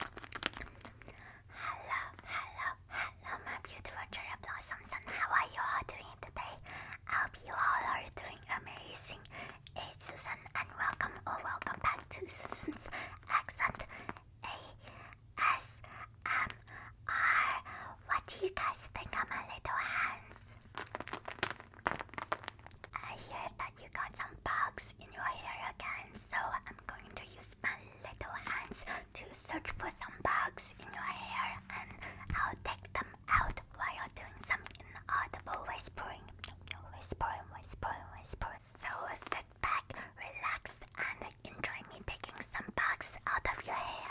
Hello, hello, hello, my beautiful cherry blossoms, how are you all doing today? I hope you all are doing amazing. It's Susan, and welcome or oh, welcome back to Susan's Accent ASMR. What do you guys think of my little hands? I hear that you got some bugs in your hair again. So I'm going to use my little hands to search for some bugs in your hair and I'll take them out while doing some inaudible whispering. Whispering, whispering, whispering. So sit back, relax, and enjoy me taking some bugs out of your hair.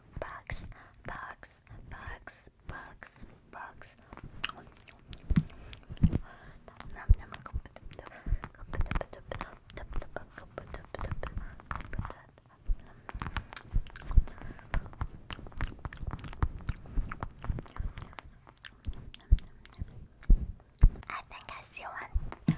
Box, box, box, box, box. bugs. I think I see one.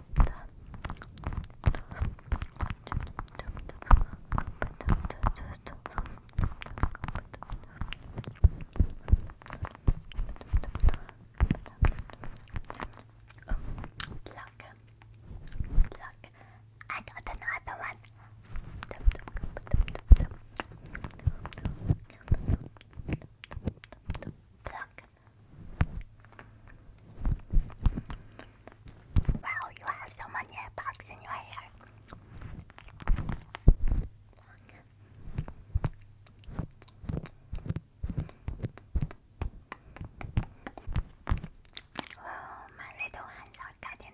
Look, look, I got another one. Wow, you have so many airbags in your hair. Oh, my little hands are getting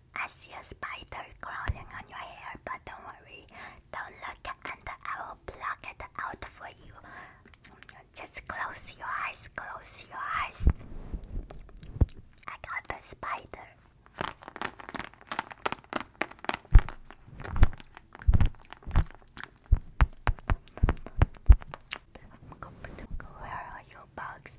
I see a spider crawling on your hair, but don't worry. Don't look, and I will pluck it out for you. Just close your eyes, close your eyes. I got the spider little bugs.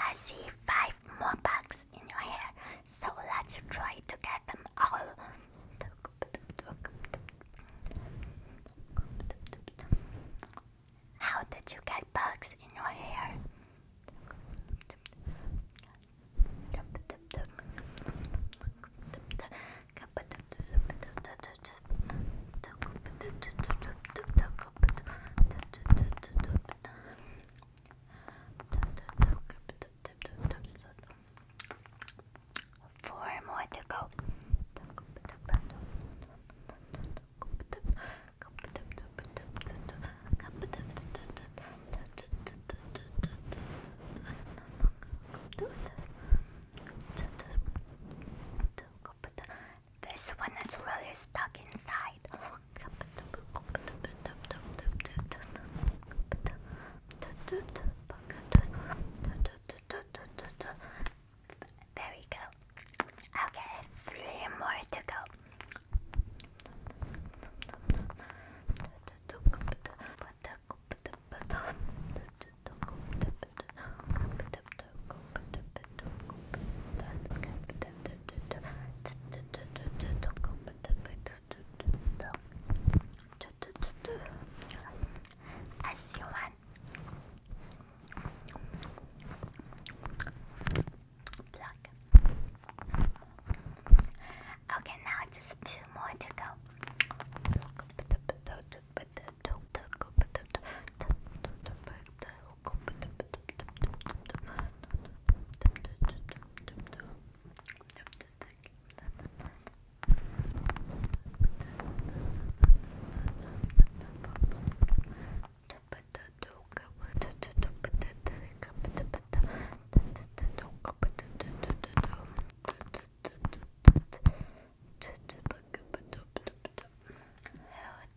I see five more bugs in your hair, so let's try to get them all. How did you get bugs in your hair? Four more to go. This one is really stuck inside. There we go. Okay, three more to go. I see one. Black. Okay, now just two more to go.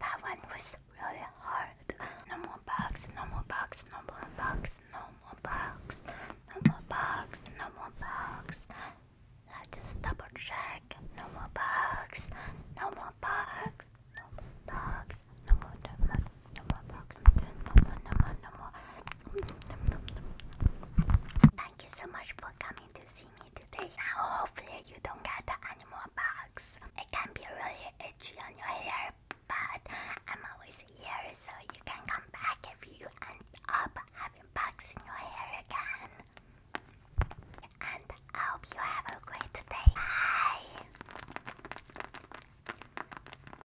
That one was really hard. No more bugs, no more bugs, no more bugs, no more bugs, no more bugs, no more bugs. Let's just double check. No more bugs, no more bugs, no more bugs, no more bugs. No more Thank you so much for coming to see me today. hopefully, you don't get any more bugs. It can be really itchy on your hair, but I'm always here, so you can come back if you end up having bugs in your hair again. And I hope you have a great day. Bye.